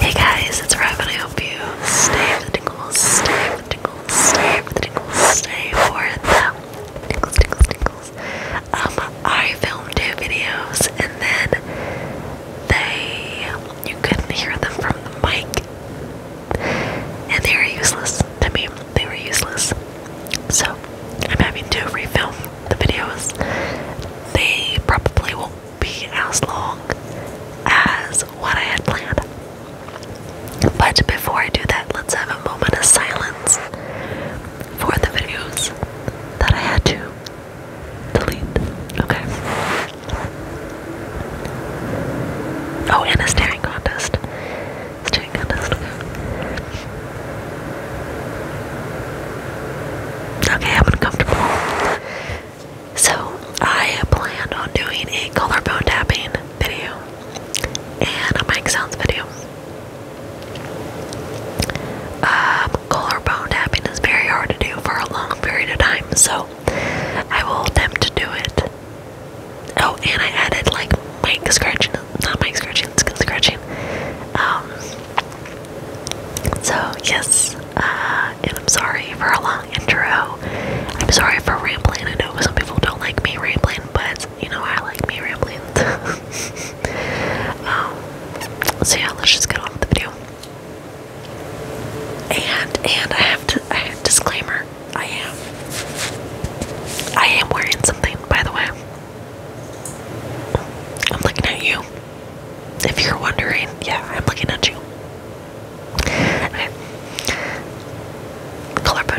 Hey guys, it's Rav and I hope you stay with the tingles, stay with the tingles, stay with the tingles, stay for the tingles, tingles, tingles. Um, I filmed two videos and then they, you couldn't hear them from the mic and they were useless to me. They were useless. So, I'm having to refilm the videos. They probably won't be as long as what I had planned. But before I do that, let's have a moment of silence for the videos that I had to delete. Okay. Oh, and a staring contest. Staring contest, Okay, I'm uncomfortable. So, I plan on doing a collarbone tapping video and a mic sounds video. Um, collarbone tapping is very hard to do for a long period of time, so I will attempt to do it. Oh, and I added like mic scratching not mic scratching, skin scratching. Um, so, yes, uh, and I'm sorry for a long intro. I'm sorry for rambling. I know some people don't like me rambling, but you know, I like me rambling. Um, so, yeah, let's just get on with the video. And, and I have to, disclaimer. I am. I am wearing something, by the way. I'm looking at you. If you're wondering, yeah, I'm looking at you. Okay. Collarbone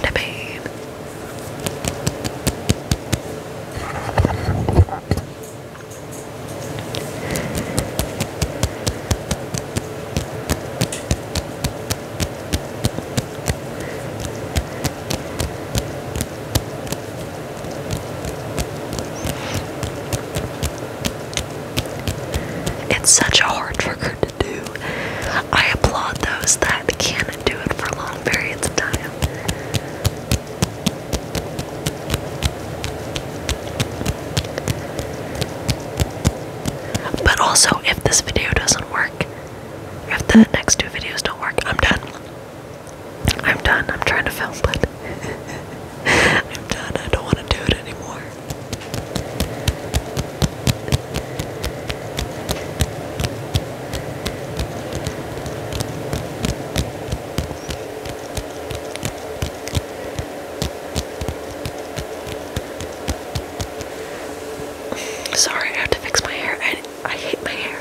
it's such a hard trick to do. I applaud those that can do it for long periods of time. But also, if this video doesn't work, if the next two videos don't work, I'm done. I'm done. I'm trying to film, but I'm done. I don't want to do it anymore. Sorry, I have to fix my hair. I, hate my hair.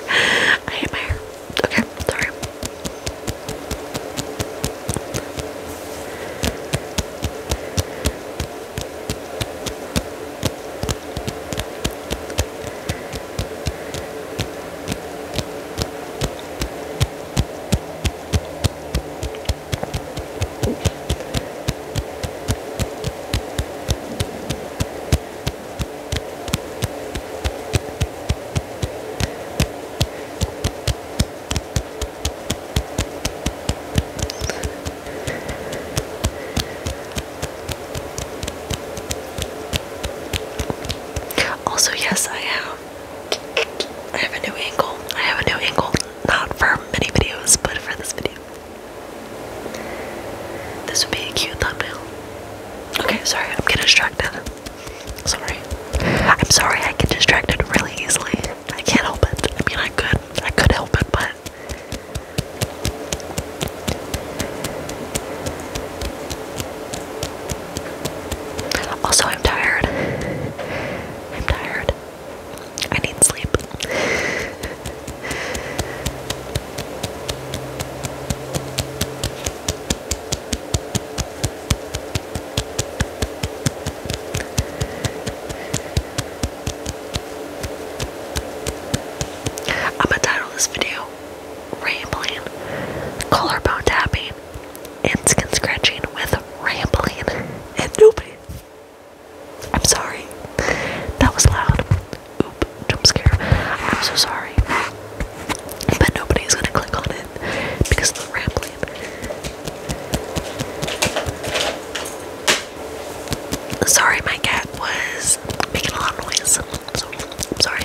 I hate my hair. Okay, sorry. Also, yes, I have I have a new angle. I have a new angle, not for many videos, but for this video. This would be a cute thumbnail. Okay, sorry, I'm getting distracted. Sorry. I'm sorry I get distracted really easily. I can't help it. I mean I could I could help it, but also, I'm tired. I'm tired. I need sleep. I'm gonna title this video Rambling Collarbone Tapping and skin scratching with rambling and nobody. I'm sorry. That was loud. Oop, jump scare. I'm so sorry. But nobody is gonna click on it because of the rambling. Sorry, my cat was making a lot of noise. So, sorry.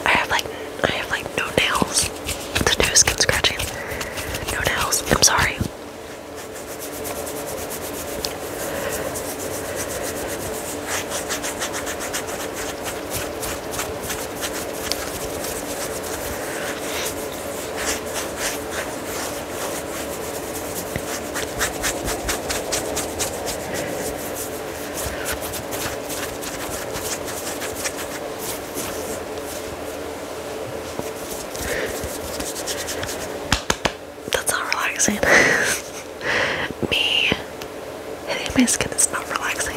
I have like I have like no nails. The new skin scratching. No nails. I'm sorry. That's not relaxing. me. I think my skin is not relaxing.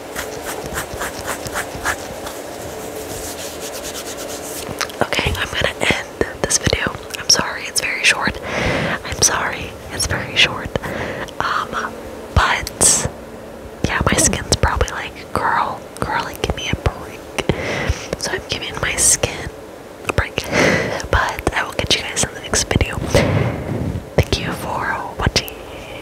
Okay, I'm gonna end this video. I'm sorry, it's very short. I'm sorry, it's very short. Um, but yeah, my skin's probably like, girl, girl, give me a break. So I'm giving my skin a break. But I will catch you guys in the next video. Thank you for watching.